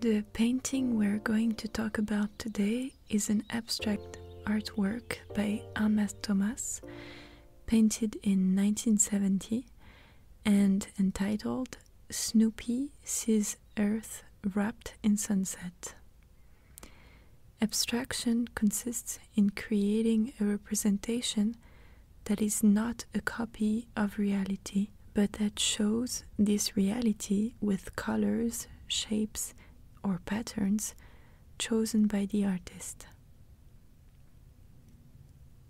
The painting we're going to talk about today is an abstract artwork by Armas Thomas, painted in 1970 and entitled Snoopy Sees Earth Wrapped in Sunset. Abstraction consists in creating a representation that is not a copy of reality, but that shows this reality with colors, shapes, or patterns chosen by the artist.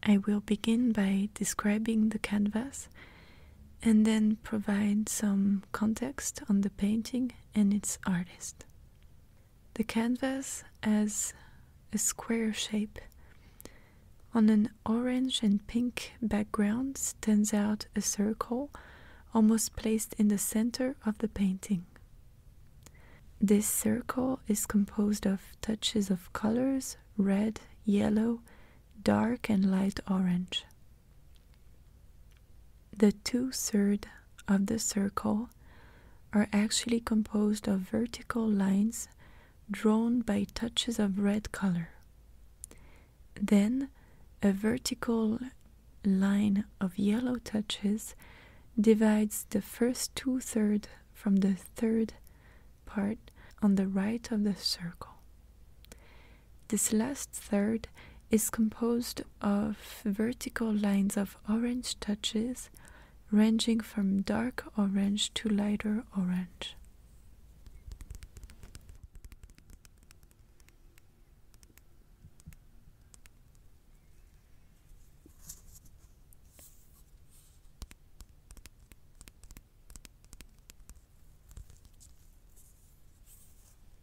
I will begin by describing the canvas and then provide some context on the painting and its artist the canvas as a square shape. On an orange and pink background stands out a circle almost placed in the center of the painting. This circle is composed of touches of colors red, yellow, dark, and light orange. The two third of the circle are actually composed of vertical lines drawn by touches of red color. Then a vertical line of yellow touches divides the first two thirds from the third part on the right of the circle. This last third is composed of vertical lines of orange touches ranging from dark orange to lighter orange.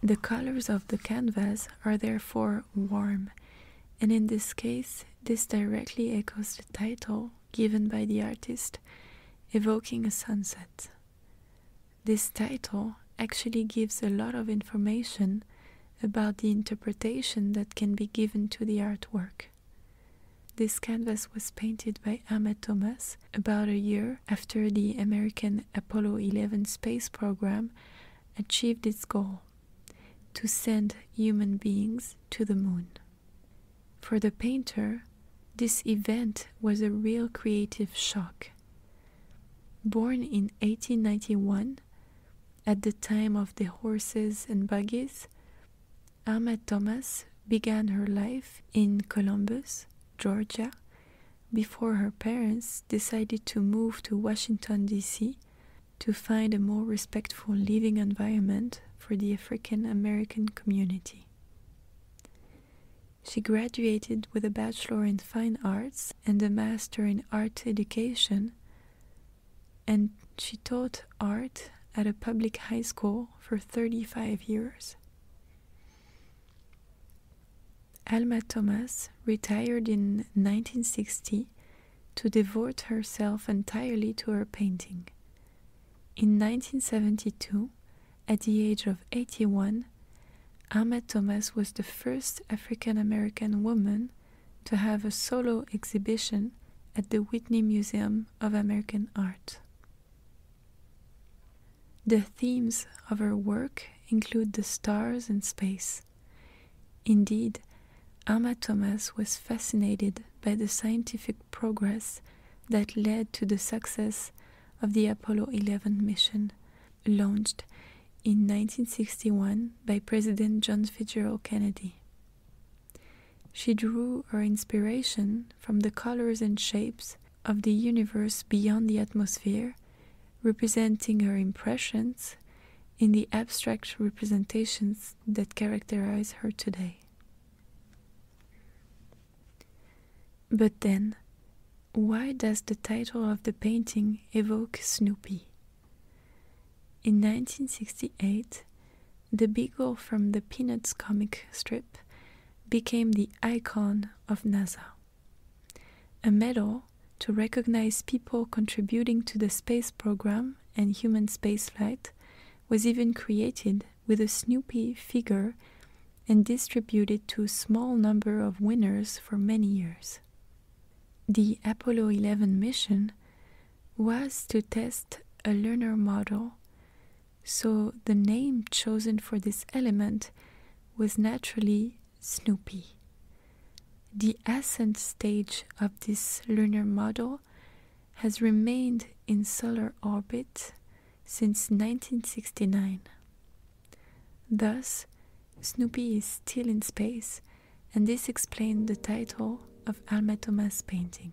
The colors of the canvas are therefore warm and in this case, this directly echoes the title given by the artist, evoking a sunset. This title actually gives a lot of information about the interpretation that can be given to the artwork. This canvas was painted by Ahmed Thomas about a year after the American Apollo 11 space program achieved its goal to send human beings to the moon. For the painter, this event was a real creative shock. Born in 1891, at the time of the horses and buggies, Irma Thomas began her life in Columbus, Georgia, before her parents decided to move to Washington, D.C. to find a more respectful living environment for the African American community. She graduated with a Bachelor in Fine Arts and a Master in Art Education, and she taught art at a public high school for 35 years. Alma Thomas retired in 1960 to devote herself entirely to her painting. In 1972, at the age of 81, Alma Thomas was the first African American woman to have a solo exhibition at the Whitney Museum of American Art. The themes of her work include the stars and space. Indeed, Amma Thomas was fascinated by the scientific progress that led to the success of the Apollo 11 mission, launched in 1961 by President John Fitzgerald Kennedy. She drew her inspiration from the colors and shapes of the universe beyond the atmosphere, representing her impressions in the abstract representations that characterize her today. But then, why does the title of the painting evoke Snoopy? In 1968, the beagle from the Peanuts comic strip became the icon of NASA. A medal to recognize people contributing to the space program and human spaceflight was even created with a Snoopy figure and distributed to a small number of winners for many years. The Apollo 11 mission was to test a lunar model, so the name chosen for this element was naturally Snoopy. The ascent stage of this lunar model has remained in solar orbit since 1969. Thus, Snoopy is still in space, and this explained the title of Alma Thomas painting.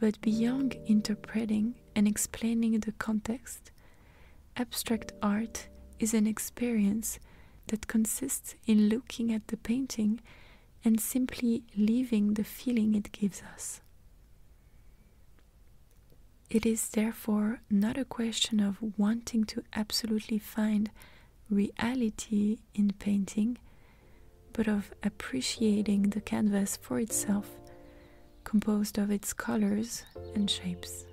But beyond interpreting and explaining the context, abstract art is an experience that consists in looking at the painting and simply leaving the feeling it gives us. It is therefore not a question of wanting to absolutely find reality in painting, but of appreciating the canvas for itself, composed of its colors and shapes.